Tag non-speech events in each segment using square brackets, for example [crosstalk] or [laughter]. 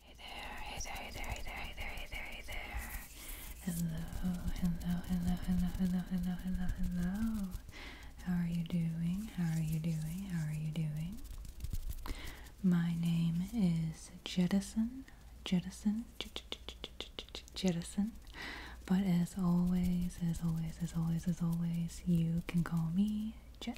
Hey there, hey there, hey there, hey there, hey there, hey there, Hello, hello, hello, hello, hello, hello, hello, hello. How are you doing? How are you doing? How are you doing? My name is Jettison, Jettison, Jettison. But as always, as always, as always, as always, you can call me Je.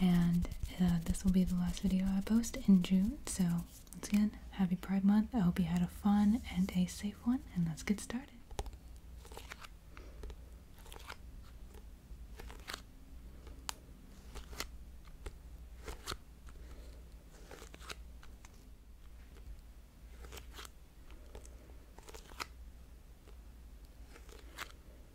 And uh, this will be the last video I post in June. So, once again, happy Pride Month. I hope you had a fun and a safe one. And let's get started.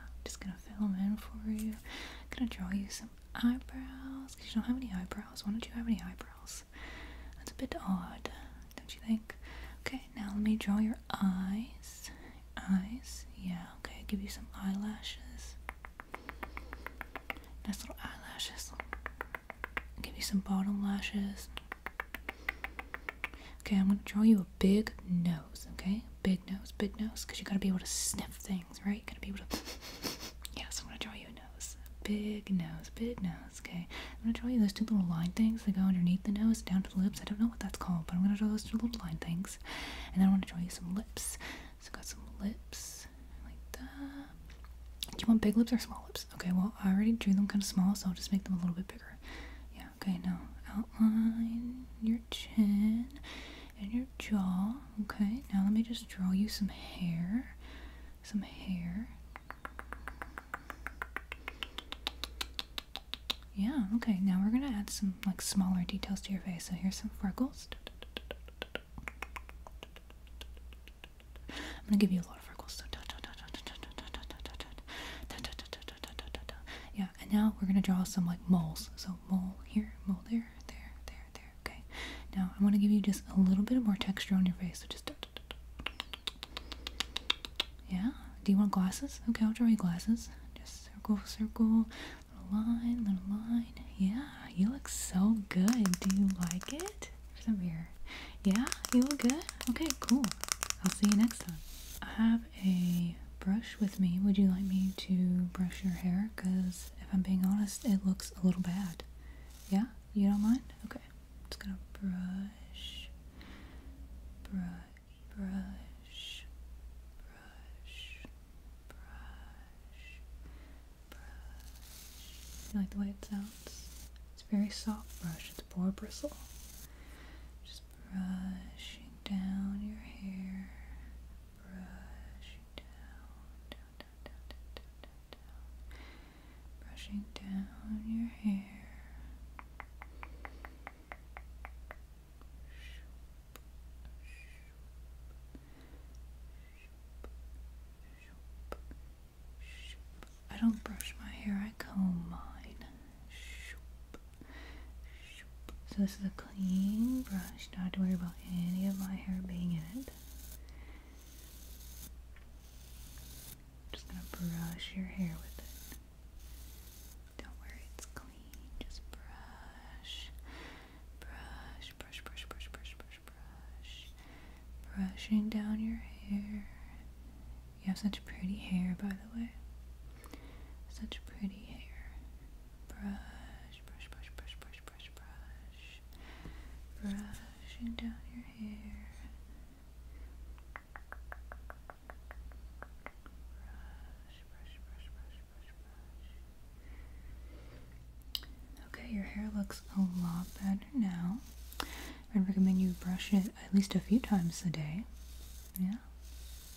I'm just gonna fill them in for you. I'm gonna draw you some eyebrows because you don't have any eyebrows. Why don't you have any eyebrows? That's a bit odd, don't you think? Okay, now let me draw your eyes. Eyes, yeah, okay, give you some eyelashes. Nice little eyelashes. Give you some bottom lashes. Okay, I'm gonna draw you a big nose, okay? Big nose, big nose, because you gotta be able to sniff things, right? You gotta be able to. [laughs] yes, I'm gonna draw you a nose. Big nose, big nose, okay? I'm gonna draw you those two little line things that go underneath the nose down to the lips. I don't know what that's called, but I'm gonna draw those two little line things. And then I wanna draw you some lips. So, got some lips, like that. Do you want big lips or small lips? Okay, well, I already drew them kind of small, so I'll just make them a little bit bigger. Yeah, okay, now outline your chin and your jaw. Okay, now let me just draw you some hair. Some hair. Yeah, okay, now we're gonna add some like smaller details to your face. So here's some freckles. I'm gonna give you a lot of freckles. Yeah, and now we're gonna draw some like moles. So mole here, mole there, there, there, there. Okay. Now I want to give you just a little bit more texture on your face. So just. Da, da, Yeah. Do you want glasses? Okay, I'll draw you glasses. Just circle, circle, little line, little line. Yeah, you look so good. Do you like it? There's a Yeah, you look good. Okay, cool. I'll see you next time. Bye have a brush with me. Would you like me to brush your hair? Because if I'm being honest, it looks a little bad. Yeah? You don't mind? Okay. I'm just gonna brush, brush, brush, brush, brush, brush. You like the way it sounds? It's a very soft brush. It's boar bristle. Just Brushing down your hair. Brushing down, down, down, down, down, down, down, Brushing down your hair. I don't brush my hair, I comb mine. Shoop, so this is a clean brush, not to worry about any of my hair being in it. Just gonna brush your hair with it. Don't worry, it's clean. Just brush, brush, brush, brush, brush, brush, brush, brush. Brushing down your hair. You have such pretty hair, by the way. Such pretty hair. Brush, brush, brush, brush, brush, brush, brush. Brushing down your hair. Brush, brush, brush, brush, brush, brush. Okay, your hair looks a lot better now. I'd recommend you brush it at least a few times a day. Yeah.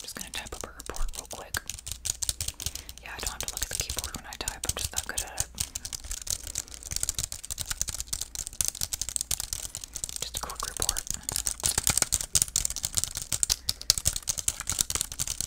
just gonna type up a report real quick. Yeah, I don't have to look at the keyboard when I type, I'm just that good at it. Just a quick report.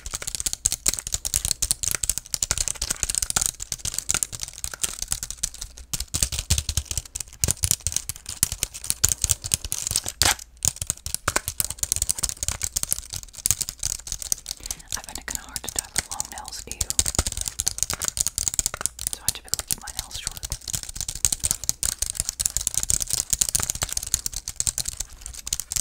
I find it kind of hard to tie the long nails, do you? So I typically keep my nails short.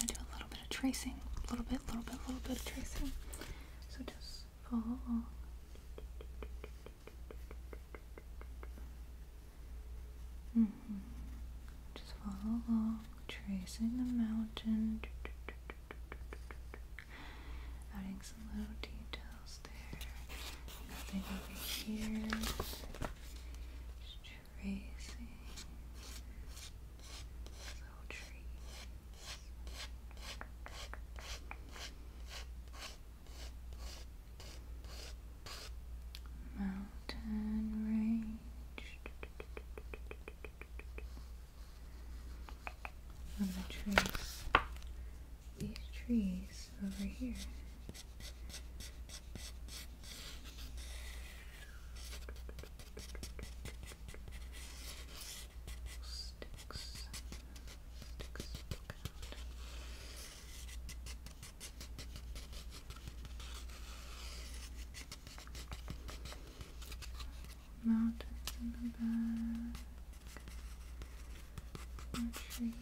I do a little bit of tracing, a little bit, little bit, little bit of tracing. So Just mm-hmm. follow along, tracing the mountain. Adding some little details there. Nothing over here. tracing little trees. Mountain range. I'm going to trace these trees over here mountains in the back, more trees,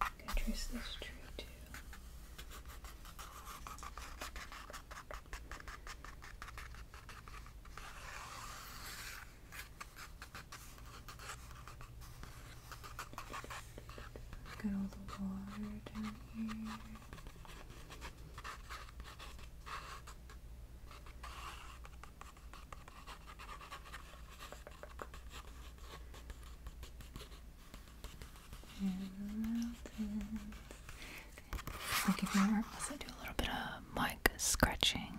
I can trace this tree too. Get all the water down here. And mountains. I'll give you a do a little bit of mic scratching.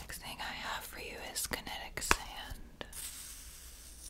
Next thing I have for you is kinetic sand.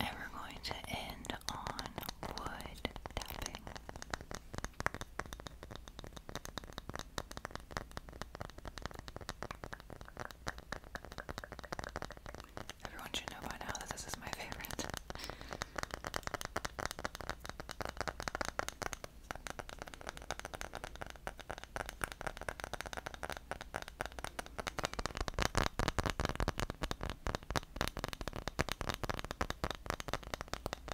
And we're going to end on wood tapping. Everyone should know by now that this is my favorite.